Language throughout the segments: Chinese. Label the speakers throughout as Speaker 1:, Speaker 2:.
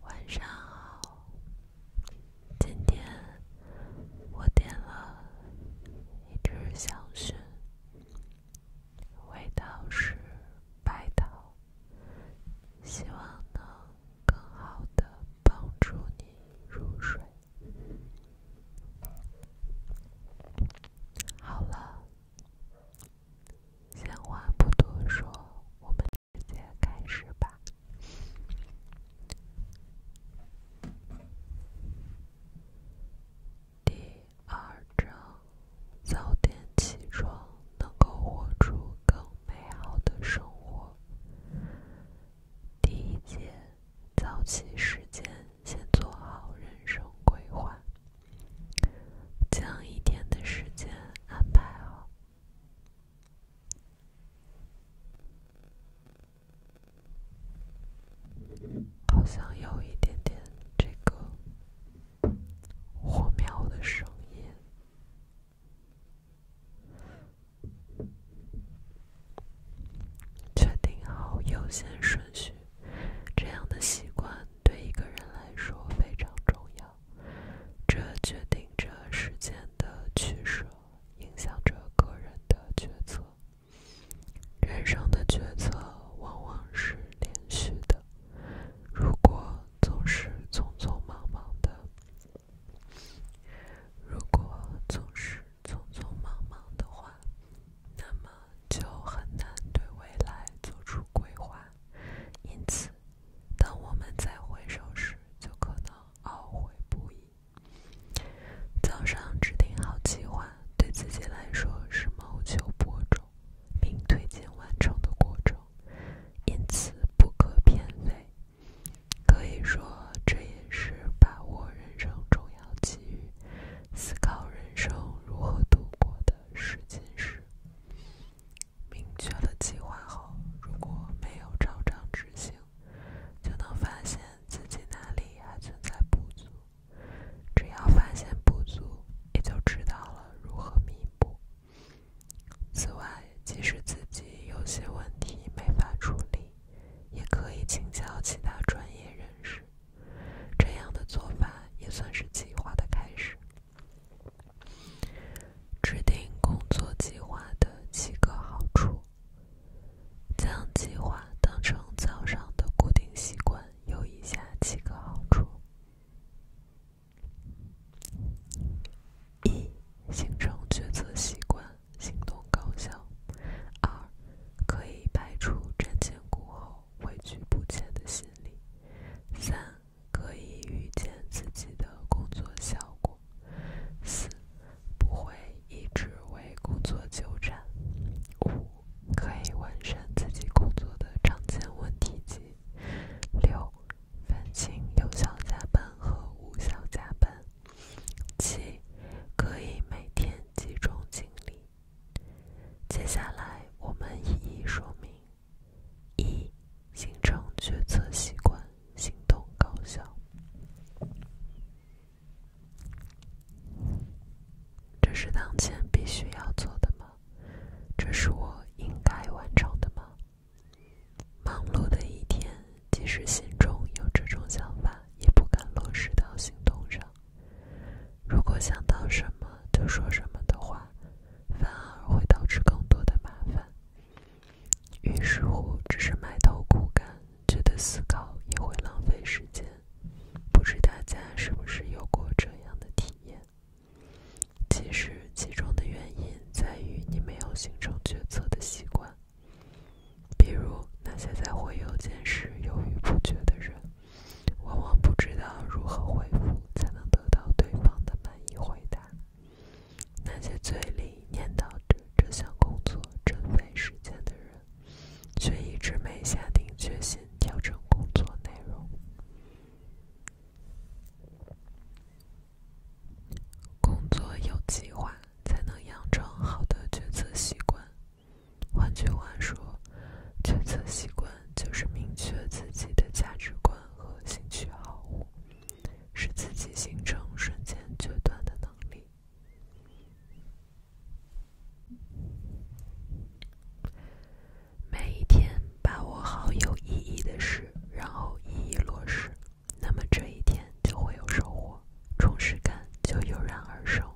Speaker 1: 晚上好，今天我点了一支香薰，味道是白桃，希望能更好的帮助你入睡。好了，闲话不多说，我们直接开始吧。第二章：早点起床，能够活出更美好的生活。第一节，早起时间先做好人生规划，将一天的时间安排好。好像有一点点这个火苗的声音。确定好优先顺序，这样的习惯对一个人来说非常重要。这决定着时间的取舍，影响着个人的决策。人生的决策往往是连续的，如果总是匆匆忙忙的。如果总是匆匆忙忙的话，那么就很难对未来做出规划，因此，当我们再回首时，就可能懊悔不已。早上制定好计划，对自己来说是谋求播种并推进完成的过程，因此不可偏废。可以说，这也是把握人生重要机遇、思考人生如何度过的试金石。明确了计划后，如果没有照常执行，就能发现自己哪里还存在不足。只要发现不足，也就知道了如何弥补。此外，即使自己有些问题没法处理，也可以请教其他专业人士。这样的做法也算是计划的开始。制定工作计划的七个好处。将计划当成早上的固定习惯，有以下七个好处。一、形成决策习惯，行动高效；二、可以排除瞻前顾后、畏惧不前的心理；三、可以预见自己的工作效果；四、不会一直为工作纠缠；五、可以完善自己工作的常见问题集；六。分清有效加班和无效加班。七，可以每天集中精力。接下来我们一一说明：一，形成决策习惯，行动高效。这是当前必须要做的吗？这是我应该完成的吗？忙碌的一天，即使心中有这种想法，也不敢落实到行动上。如果想到什么就说什么的话，反而会导致更多的麻烦。于是乎，只是埋头苦干，觉得思考也会浪费时间。不知大家是不是有过这样的体验？其实，其中的原因在于你没有形成决策的习惯。比如，那些在回邮件时犹豫不决的人，往往不知道如何回复才能得到对方的满意回答；那些嘴里念叨着这项工作真费时间的人，却一直没下定决心调整工作内容。工作有计划，才能养成好的决策习惯。换句话说，决策习惯就是明确自己的价值观和兴趣好使自己形成瞬间决断的能力。每一天。把握好有意义的事，然后一一落实，那么这一天就会有收获，充实感就油然而生。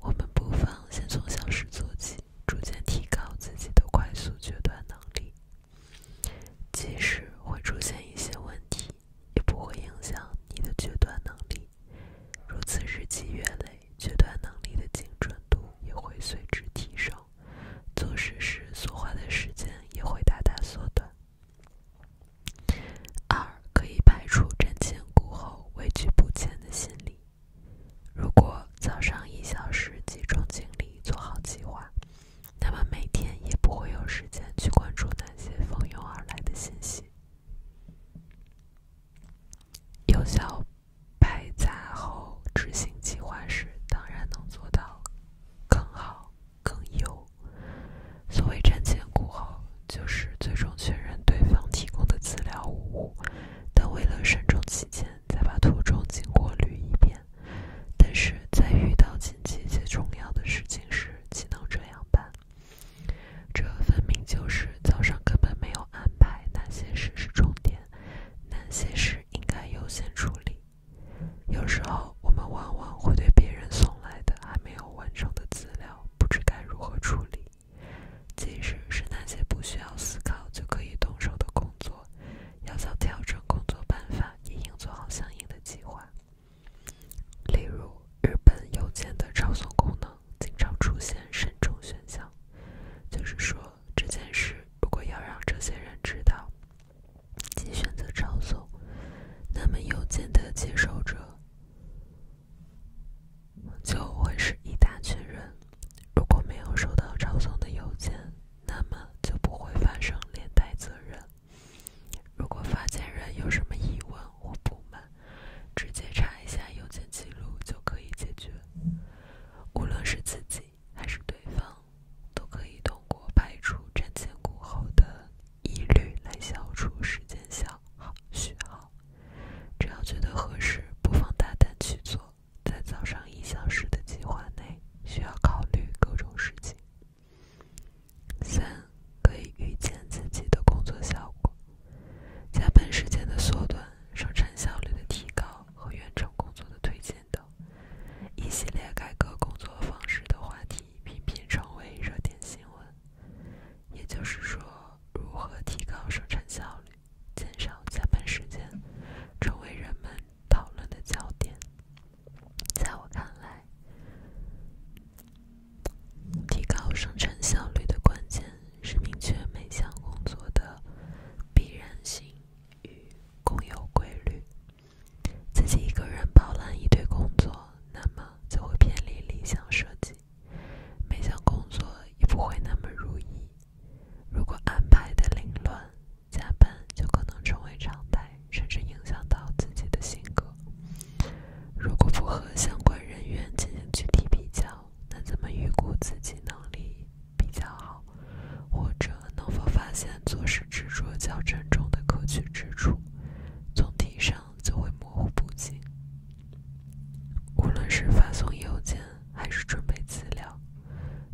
Speaker 1: 我们不妨先从小事做起，逐渐提高自己的快速决断能力。即使会出现一些问题，也不会影响你的决断能力。如此日积月累，决断能力的精准度也会随之提升。做事时所花的时间也会大大缩短。二，可以排除瞻前顾后、畏惧不前的心理。如果早上一小时集中精力做好计划，那么每天也不会有时间去关注那些蜂拥而来的信息，有效。排查后执行计划时，当然能做到更好、更优。所谓瞻前顾后，就是最终确认对方提供的资料无误，但为了慎重起见，再把途中经过捋一遍。但是在遇到紧急且重要的事情时，岂能这样办？这分明就是早上根本没有安排。哪些事是重点？哪些事？应该优先处理。有时候，我们往往会对别人送来的还没有完成的资料不知该如何处理。即使是那些不需要思考就可以动手的工作，要想调整工作办法，也应做好相应的计划。例如，日本邮件的抄送功能经常出现慎重选项，就是说。这件事如果要让这些人知道，即选择抄送，那么邮件的接受者就会是一大群人。如果没有收到抄送的邮件，那么就不会发生连带责任。如果发件人有什么疑问或不满，直接查一下邮件记录就可以解决。无论是自己。还是对方，都可以通过排除瞻前顾后的疑虑来消除时间消耗。需要，只要觉得合适，不妨大胆去做。在早上一小时的计划内，需要考虑各种事情。三，可以预见自己的工作效果，加班时间的缩短，生产效率的提高。和远程工作的推荐等一系列改革工作方式的话题频频成为热点新闻。也就是说，如何提高生产效率、减少加班时间，成为人们讨论的焦点。在我看来，提高生产效率的关键是明确每项工作的必然性。与共有规律，自己一个人包揽一堆工作，那么就会偏离理想设计，每项工作也不会那么如意。如果安排的凌乱，加班就可能成为常态，甚至影响到自己的性格。如果不和相关人员进行具体比较，那怎么预估自己能力？比较好，或者能否发现做事执着较沉重的可取之处，总体上就会模糊不清。无论是发送邮件还是准备资料，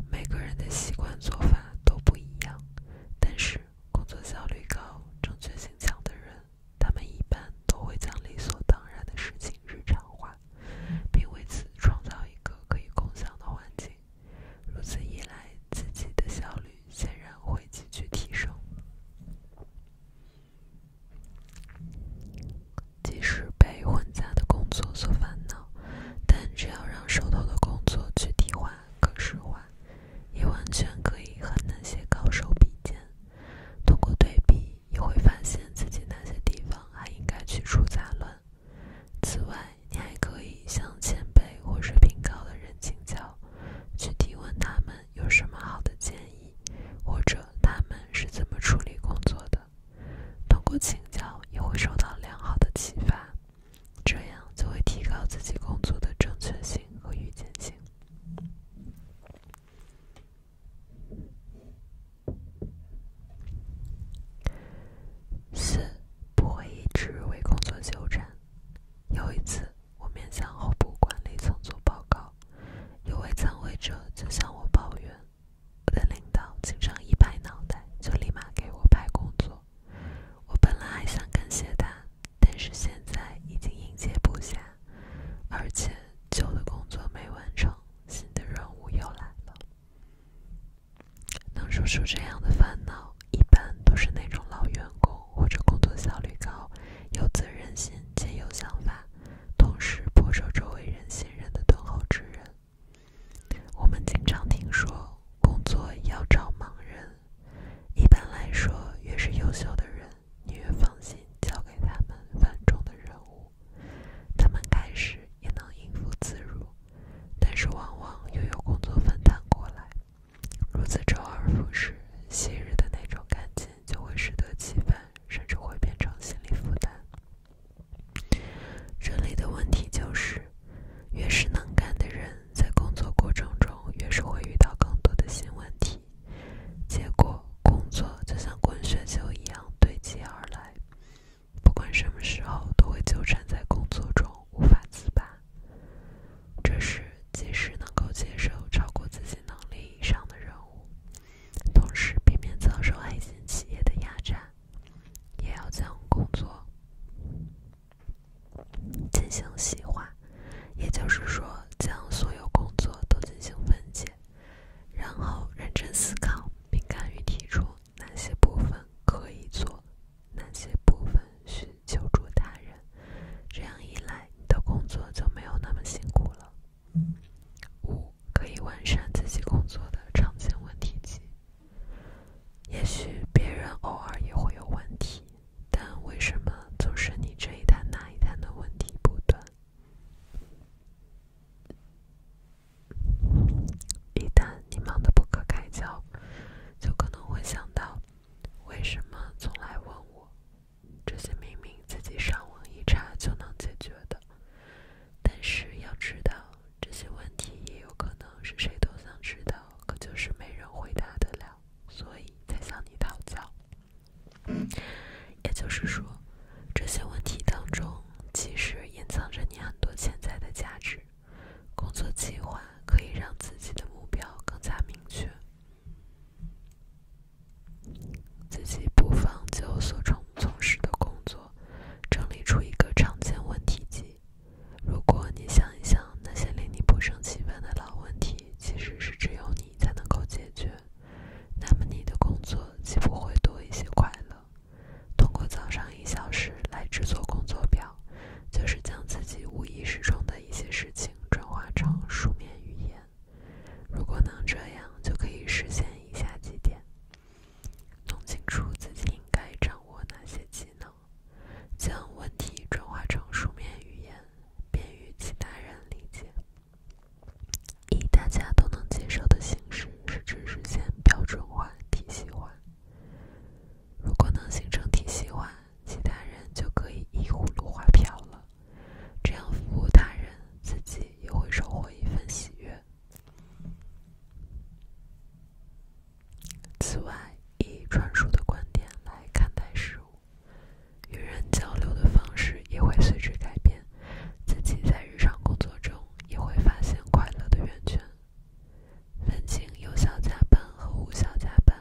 Speaker 1: 每个人的习惯做法都不一样，但是工作效率高、正确性强的人，他们一般都会将理所当然的事情日常化。并为此创造一个可以共享的环境，如此一来，自己的效率显然会急剧提升。即使被混杂的工作所烦恼，但只要让手头的工作具体化、可视化，也完全可以和那些高手比肩。通过对比。你会发现自己那些地方还应该去除杂乱。此外，你还可以向前辈或是品高的人请教，去提问他们有什么好的建议，或者他们是怎么处理工作的。通过请教，也会受到良好的启发，这样就会提高自己工作的正确性和预见性。四不会一直为工作纠缠。有一次，我面向候补管理层做报告，有位参会者就向我抱怨，我的领导经常一拍脑袋就立马给我派工作。我本来还想感谢他，但是现在已经应接不暇，而且旧的工作没完成。新的任务又来了，能说出这样的烦恼，一般都是那种老员工或者工作效率高、有责任心、且有想法，同时颇受周围人信任的敦厚之人。我们经常听说，工作要找盲人。一般来说，越是优秀的人，你越放心交给他们繁重的任务。他们开始也能应付自如，但是往往又有工作分担过来，如此周而复始，昔日的那种感情就会适得其反，甚至会变成心理负担。这里的问题就是，越是能干的人，在工作过程中越是会遇到更多的新问题，结果。工作就像滚雪球一样堆积而来，不管什么时候都会纠缠在工作中无法自拔。这时，即使能够接受超过自己能力以上的任务，同时避免遭受爱心企业的压榨，也要将工作进行细化，也就是说，将所有工作都进行分解。然后认真思考，并敢于提出哪些部分可以做，哪些部分需求助他人。这样一来，你的工作就没有那么辛苦了。五，可以完善自己工作的常见问题集。也许别人偶尔也会有问题，但为什么总是你这一摊那一摊的问题不断？一旦你忙得不可开交，就可能会想到，为什么从来问我？这些明明自己上网一查就能解决的，但是要知道，这些问题也有可能是谁都想知道，可就是没人回答得了，所以才向你讨教。也就是说，这些问题当中，其实隐藏着你很多潜在的价值。工作计划可以让自己的目标更加明确。自己不妨就所从从事的工作，整理出一个常见问题集。如果你想一想，那些令你不胜其烦的老问题，其实是只有你才能够解决。那么你的工作既不会多一些快乐。通过早上一小时来制作工作表，就是将自己无意识中的一些事情转化成书面语言。如果能这样，就可以实现以下几点：弄清楚自己应该掌握哪些技能，将问题转化成书面语言，便于其他人理解。以大家都能接受的形式，使之实现标准化、体系化。如果能形成体系化，其他人就可以依葫芦画瓢了。这样服务他人，自己也会收获一份喜悦。此外，以专属的观点来看待事物。与人交流的方式也会随之改变，自己在日常工作中也会发现快乐的源泉。分清有效加班和无效加班，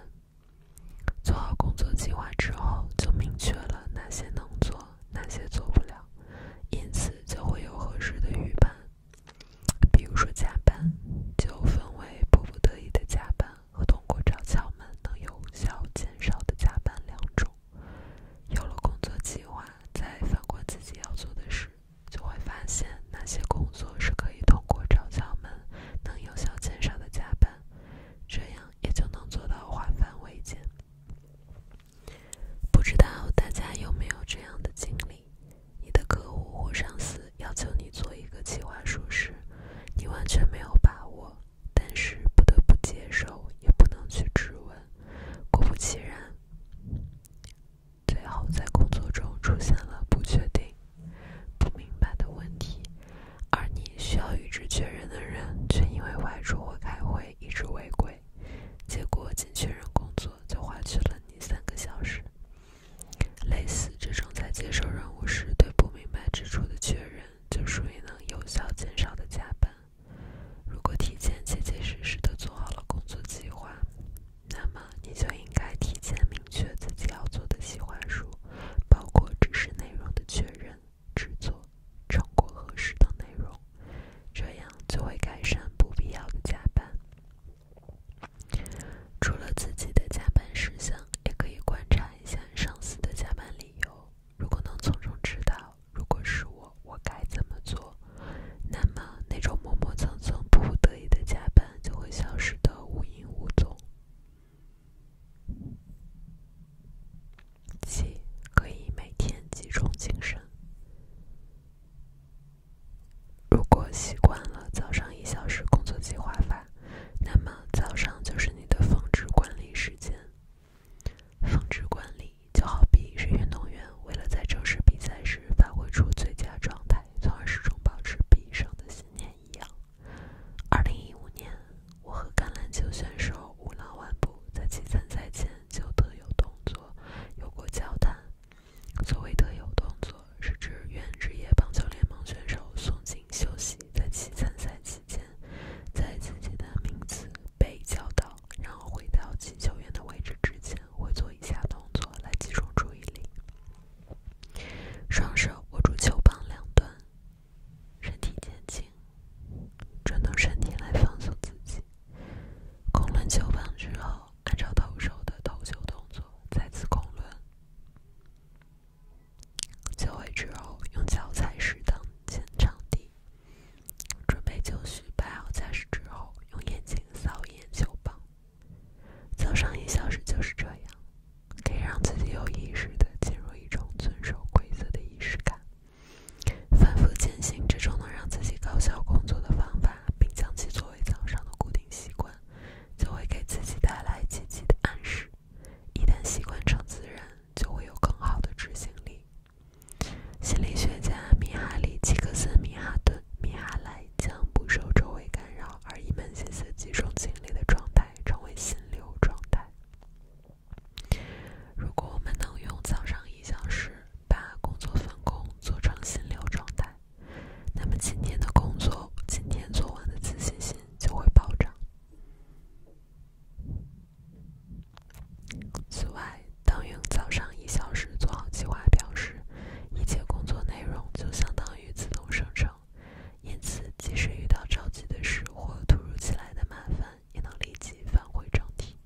Speaker 1: 做好工作计划之后，就明确了哪些能做，哪些做不了，因此就会有合适的预判。比如说加班，就分为迫不得已的加班和通过找窍门能有效减少的加班两种。有了工作计划，再翻过自己要做的事，就会发现那些工作是可以通过找窍门，能有效减少的加班，这样也就能做到化繁为简。不知道大家有没有这样的经历？你的客户或上司要求你做一个计划书时，你完全没有把握。但是不得不接受，也不能去质问。果不其然，最后在工作中出现了不确定、不明白的问题，而你需要与之确认的人却因为外出或开会一直未归。结果仅确认工作就花去了你三个小时。类似这种在接受任务时对不明白之处的确认。就属于能有效减少的加班。如果提前切切实实地做好了工作计划，那么你就应该提前明确自己要做的计划书，包括知识内容的确认、制作、成果核实等内容，这样就会改善不必要的加班。除了自己的加班事项，也可以观察一下上司的加班理由。如果能从中知道，如果是我，我该怎么做，那么那种磨磨蹭蹭、迫不得已的加班就会消失的无影无踪。七，可以每天集中精神。如果习惯了早上一小时工作计划法。那么早上就是你的峰值管理时间。峰值管理就好比是运动员为了在正式比赛时发挥出最佳状态，从而始终保持必胜的信念一样。二零一五年，我和橄榄球选手五拉万步在其参赛前就特有动作有过交谈。所谓特有动作，是指原职业棒球联盟选手松井秀喜在其参赛期间。在自己的名字被叫到，然后回到击球员的位置之前，会做以下动作来集中注意力：双手握住球棒两端，身体前倾，转动身体来放松自己。滚轮球棒之后，按照投手的投球动作再次滚轮。就位之后，用脚踩实当前场地。准备就绪，摆好姿势之后，用眼睛扫一眼球棒。早上一小时就是这样，可以让自己有意识地进入一种遵守规则的仪式感。反复践行这种能让自己高效工作的方法，并将其作为早上的固定习惯，就会给自己带来积极的暗示。一旦习惯成自然，就会有更好的执行力。心理学家米哈里·吉克森米哈顿米哈赖将不受周围干扰而一门心思集中精力的状态称为心流状态。如果我们能用早上一小时把工作分工做成心流状态，那么今天的工作，今天做完的自信心就会暴涨。此外，当用早上一小时做好计划表时，一切工作内容就相当于自动生成，因此即使遇到着急的事或突如其来的麻烦，也能立即返回正题。